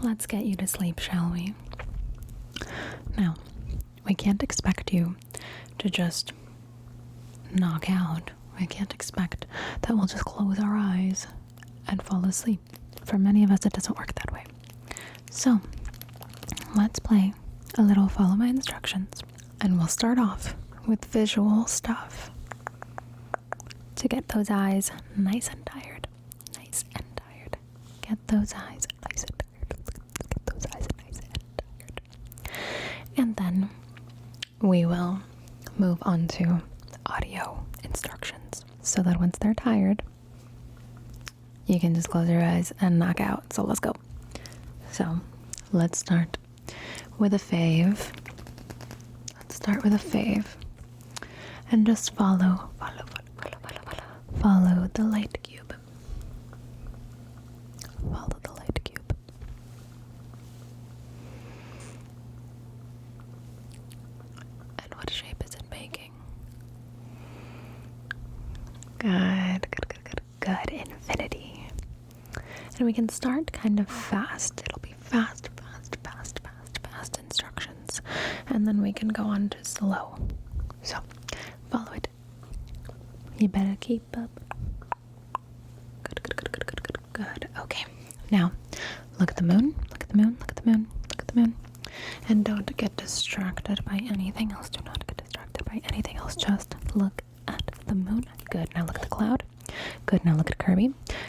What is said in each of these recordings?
Let's get you to sleep, shall we? Now, we can't expect you to just knock out. We can't expect that we'll just close our eyes and fall asleep. For many of us, it doesn't work that way. So, let's play a little follow my instructions, and we'll start off with visual stuff to get those eyes nice and tired. Nice and tired. Get those eyes nice and tired. Get those eyes nice and tired. And then we will move on to audio instructions so that once they're tired, you can just close your eyes and knock out. So let's go. So let's start with a fave Let's start with a fave. And just follow, follow, follow, follow, follow, follow, follow the light cube. Follow the light cube. And what shape is it making? Good, good, good, good, good. Infinity. And we can start kind of fast. It'll be fast, fast, fast, fast, fast instructions, and then we can go on to slow. So, follow it. You better keep up. Good, good, good, good, good, good, good. Okay, now look at the moon, look at the moon, look at the moon, look at the moon. And don't get distracted by anything else. Do not get distracted by anything else. Just look at the moon. Good. Now look at the cloud. Good. Now look at Kirby.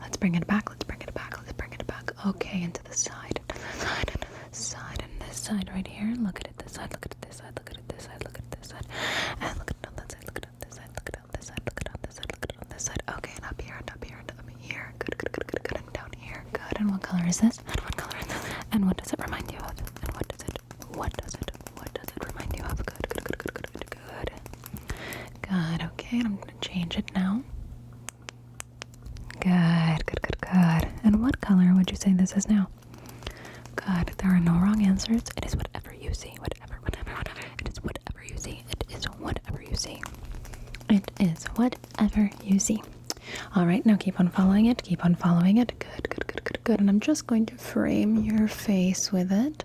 Let's bring it back. Let's bring it back. Let's bring it back. Okay, into the side. Side and this side and this side right here. Look at it this side. Look at it this side. Look at it this side. Look at it this side. And look at it on that side. Look at it on this side. Look at it on this side. Look at it on this side. Look at it on this side. Okay, and up here and up here and up here. Good, good, good, good, good. And down here. Good. And what color is this? And what color is this? And what does it remind you of? And what does it? What does it? What does it remind you of? Good, good, good, good, good good, good. Good, okay, and I'm gonna change it now. Good, good, good, good. And what color would you say this is now? Good, there are no wrong answers. It is whatever you see, whatever, whatever, whatever. It is whatever you see. It is whatever you see. It is whatever you see. All right, now keep on following it. Keep on following it. Good, good, good, good, good. And I'm just going to frame your face with it.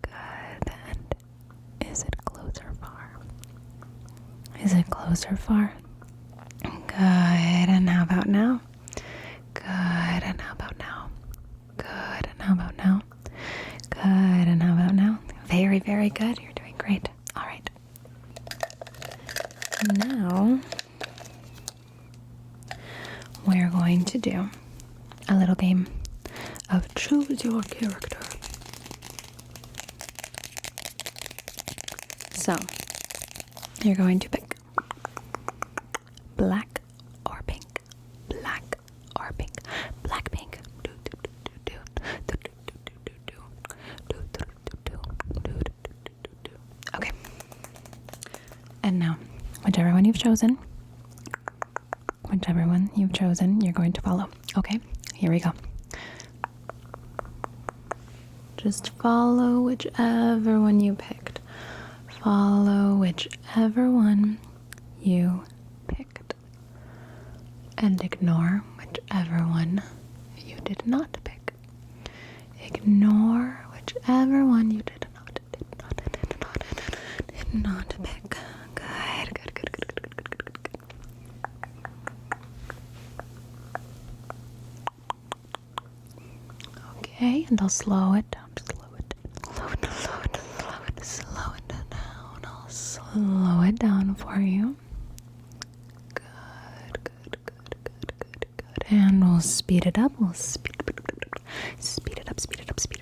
good. And is it close or far? Is it close or far? Good. And how about now? Good. And how about now? Good. And how about now? Good. And how about now? Very, very good. You're doing great. All right. Now, we're going to do a little game of choose your character. So, you're going to pick black or pink, black or pink, black pink. Okay. And now, whichever one you've chosen, Whichever one you've chosen, you're going to follow. Okay, here we go. Just follow whichever one you picked. Follow whichever one you picked. And ignore whichever one you did not pick. Ignore whichever one you did not, did not, did not, did not, pick. Good, good, good, good, good, good, good, good, good. Okay, and I'll slow it down. Slow it, slow it, slow it, slow it, slow it down. I'll slow it down for you. Good, good, good, good, good, good. And we'll speed it up. We'll speed, speed it up, speed it up, speed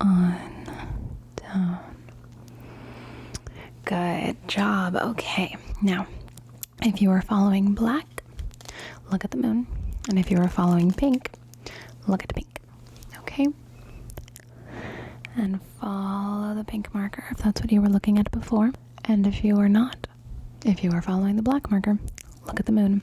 on down. Good job. Okay, now if you are following black, look at the moon, and if you are following pink, look at the pink. Okay, and follow the pink marker if that's what you were looking at before. And if you are not, if you are following the black marker, look at the moon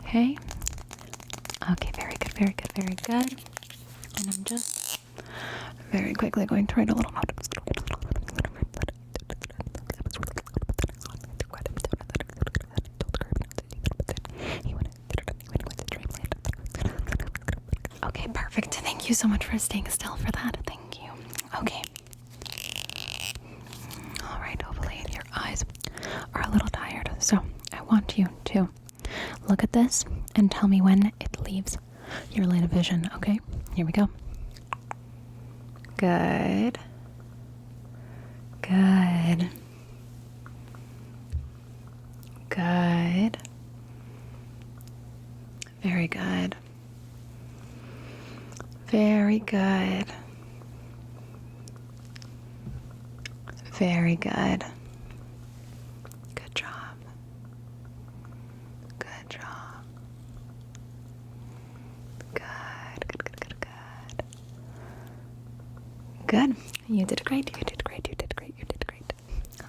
Okay. Okay, very good, very good, very good. And I'm just very quickly going to write a little note. Okay, perfect. Thank you so much for staying still for that. Thank you. Okay. Alright, hopefully your eyes are a little tired. So I want you to look at this and tell me when it leaves your line of vision. Okay, here we go. Good. Good. Good. Very good. Very good. Very good. Good job. Good job. Good, good, good, good, good. Good. You did great. You did great. You did great. You did great.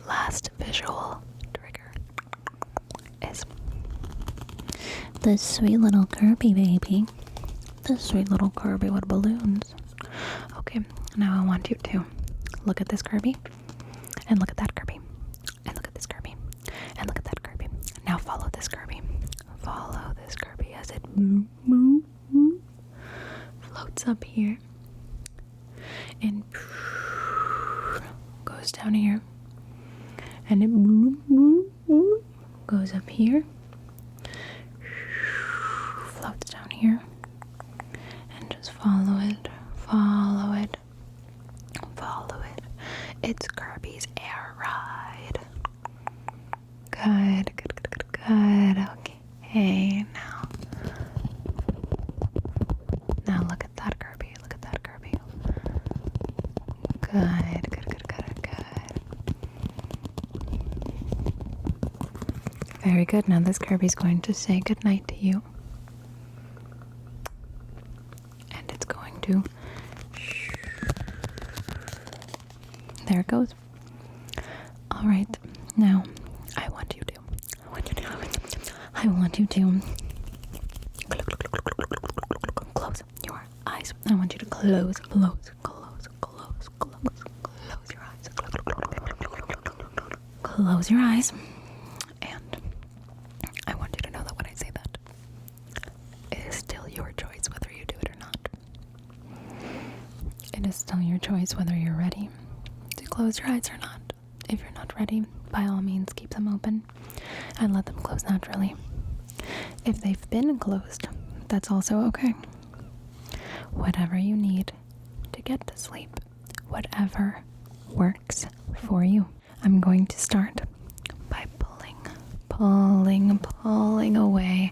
Last visual trigger is this sweet little Kirby baby. This sweet little Kirby with balloons. Okay, now I want you to look at this Kirby, and look at that Kirby, and look at this Kirby, and look at that Kirby. Now follow this Kirby. Follow this Kirby as it floats up here and goes down here and it goes up here, floats down here, and just follow it, follow it, follow it. It's Kirby's air ride. Good, good, good, good, good. Okay, now. Now look at that Kirby, look at that Kirby. Good, good, good, good, good. Very good. Now this Kirby's going to say goodnight to you. And it's going to. There it goes. Alright, now I want you to. I want you to. I want you to. Close your eyes. I want you to close, close, close, close, close, close your eyes. Close your eyes. And I want you to know that when I say that, it is still your choice whether you do it or not. It is still your choice whether you're ready to close your eyes or not. If you're not ready, by all means, keep them open and let them close naturally. If they've been closed, that's also okay. Whatever you need to get to sleep, whatever works for you. I'm going to start by pulling, pulling, pulling away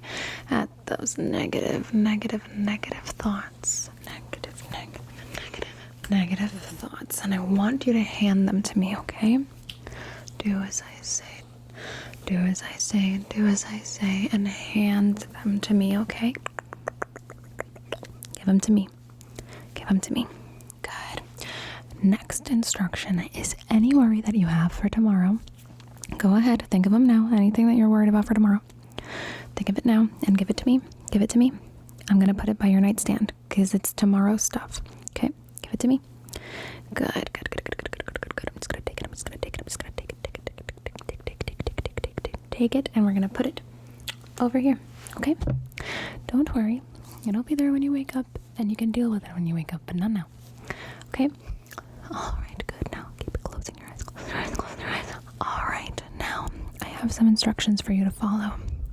at those negative, negative, negative thoughts. Negative, negative, negative, negative thoughts. And I want you to hand them to me, okay? Do as I say, do as I say, do as I say, and hand them to me, okay? Give them to me. Give them to me. Good. Next instruction is any worry that you have for tomorrow. Go ahead, think of them now. Anything that you're worried about for tomorrow. Think of it now and give it to me. Give it to me. I'm going to put it by your nightstand because it's tomorrow stuff. Okay, give it to me. Good, good, good, good, good, good, good, good, good. I'm just gonna take it. I'm just gonna take it. I'm just gonna take it. Take it. Take it. Take it. Take it. Take it. Take it. Take it. Take it. And we're gonna put it over here. Okay. Don't worry. It'll be there when you wake up, and you can deal with it when you wake up, but not now. Okay. All right. Good. Now keep closing your eyes. Close your eyes. Close your eyes. All right. Now I have some instructions for you to follow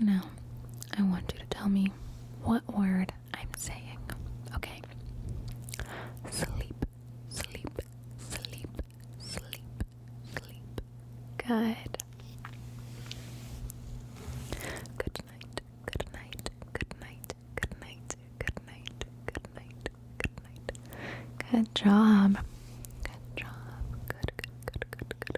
now, I want you to tell me what word I'm saying, okay? Sleep, sleep, sleep, sleep, sleep. Good. Good night, good night, good night, good night, good night, good night, good night. Good job. Good job. Good, good, good, good, good,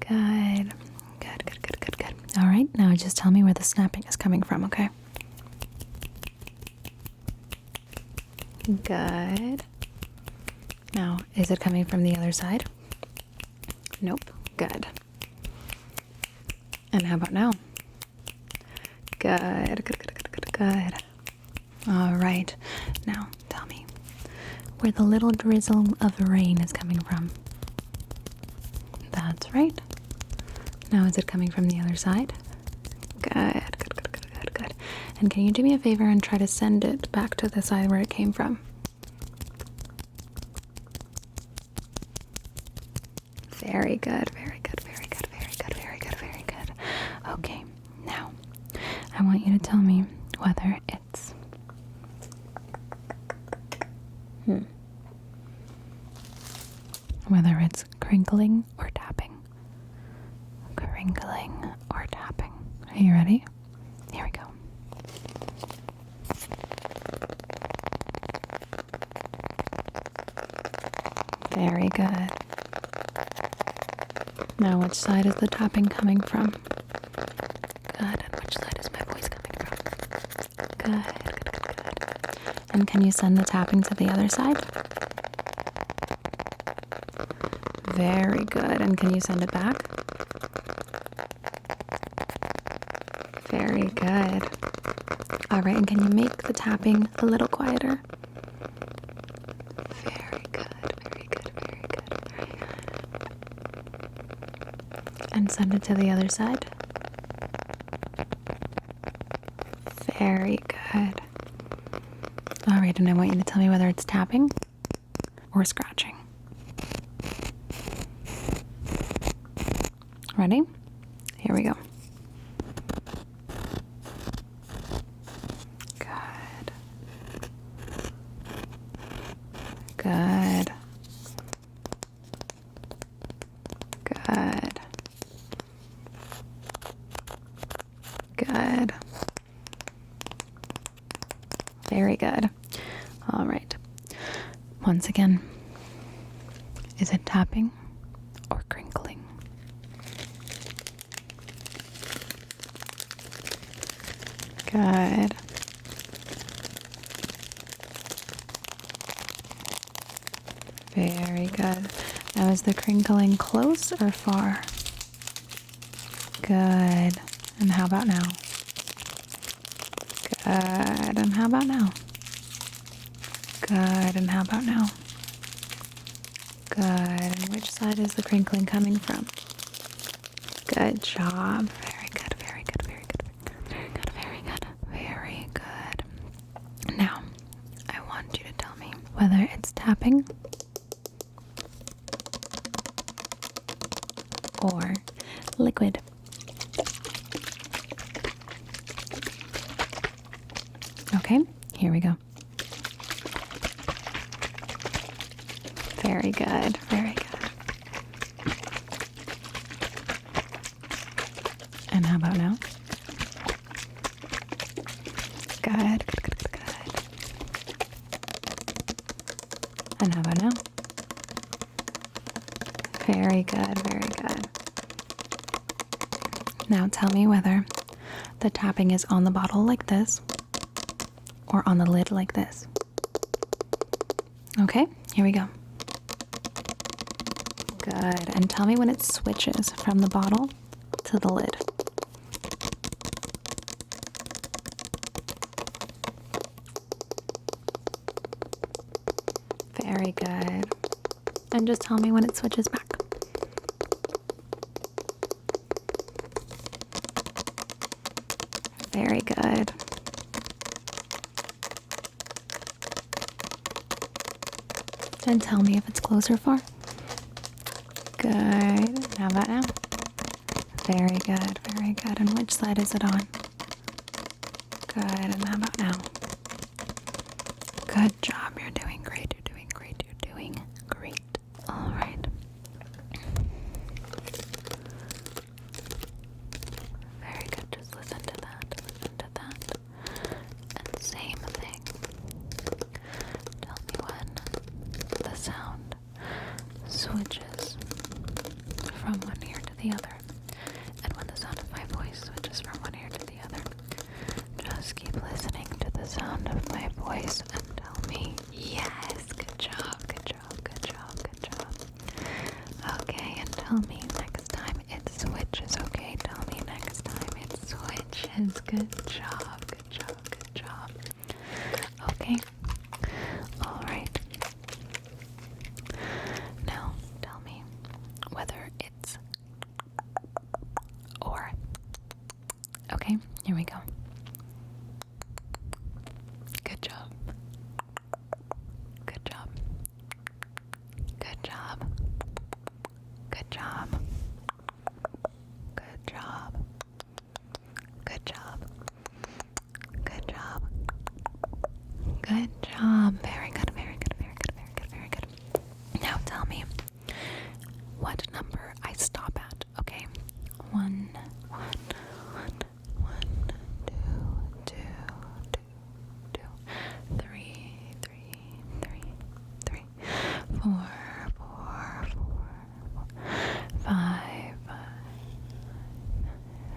Good. Good, good, good, good, good. All right, now just tell me where the snapping is coming from, okay? Good. Now, is it coming from the other side? Nope. Good. And how about now? good, good, good, good, good. All right. Now, tell me where the little drizzle of rain is coming from. That's right. Now, is it coming from the other side? Good, good, good, good, good, good. And can you do me a favor and try to send it back to the side where it came from? Very good, very good, very good, very good, very good, very good. Okay, now I want you to tell me whether hmm. whether it's crinkling or tapping. Crinkling or tapping. Are you ready? Here we go. Very good. Now, which side is the tapping coming from? Good. And which side is my voice coming from? Good, good, good. And can you send the tapping to the other side? Very good. And can you send it back? Very good. All right. And can you make the tapping a little quieter? Very good very good, very good, very good. And send it to the other side. Very good. Alright, and I want you to tell me whether it's tapping or scratching. Ready? Here we go. Good. Good. Good. Good. Very good. All right. Once again, is it tapping or crinkling? Good. Very good. Now, is the crinkling close or far? Good. And how about now? Good. And how about now? Good. And how about now? Good. which side is the crinkling coming from? Good job. Very good, very good, very good, very good, very good, very good. Now, I want you to tell me whether it's tapping or liquid. Okay, here we go. Very good, very good. And how about now? Good, good, good, good, And how about now? Very good, very good. Now tell me whether the tapping is on the bottle like this or on the lid like this. Okay, here we go. Good. And tell me when it switches from the bottle to the lid. Very good. And just tell me when it switches back. Very good. Then tell me if it's close or far. Good. How about now? Very good, very good. And which side is it on? Good. And how about now? Good job. You're doing great you're doing great, you're doing great. Alright. Very good, just listen to that, to that. And same thing. Tell me when the sound switches from one ear to the other, and when the sound of my voice switches from one ear to the other. Just keep listening to the sound of my voice and tell me, yes, good job, good job, good job, good job. Okay, and tell me next time it switches, okay? Tell me next time it switches. Good job, good job, good job. Okay, alright. Now tell me whether it's or, okay, here we go. Good job. Good job. Good job. Good job. Good job. Good job. Good job. Good job. Very good, very good, very good, very good, very good. Now tell me, what number I stop at, okay? One, one, one, one, two, two, two, two, three, three, three, three, four, four, four, four, five, five,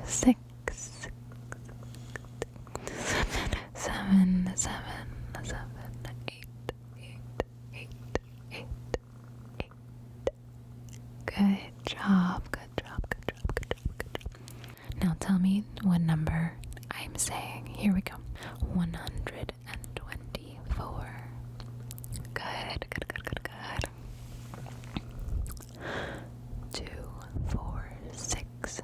six, six, six seven, seven, seven, seven, eight eight, eight, eight, eight. Good job, good job, good job, good job, good job. Now tell me what number I'm saying. Here we go. 124. Good, good, good, good, good. Two, four, six,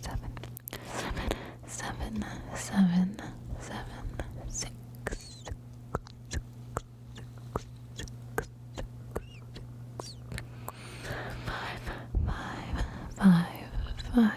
seven, seven, seven, seven, seven, six, six, six, six, six, six, five, five,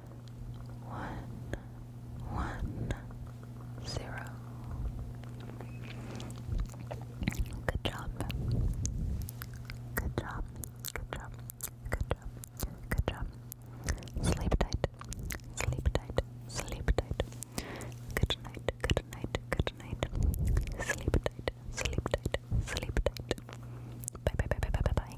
one, one, zero. Good job. Good job. Good job. Good job. Good job. Sleep tight. Sleep tight. Sleep tight. Good night. Good night. Good night. Sleep tight. Sleep tight. Sleep tight. Bye bye bye bye bye bye bye.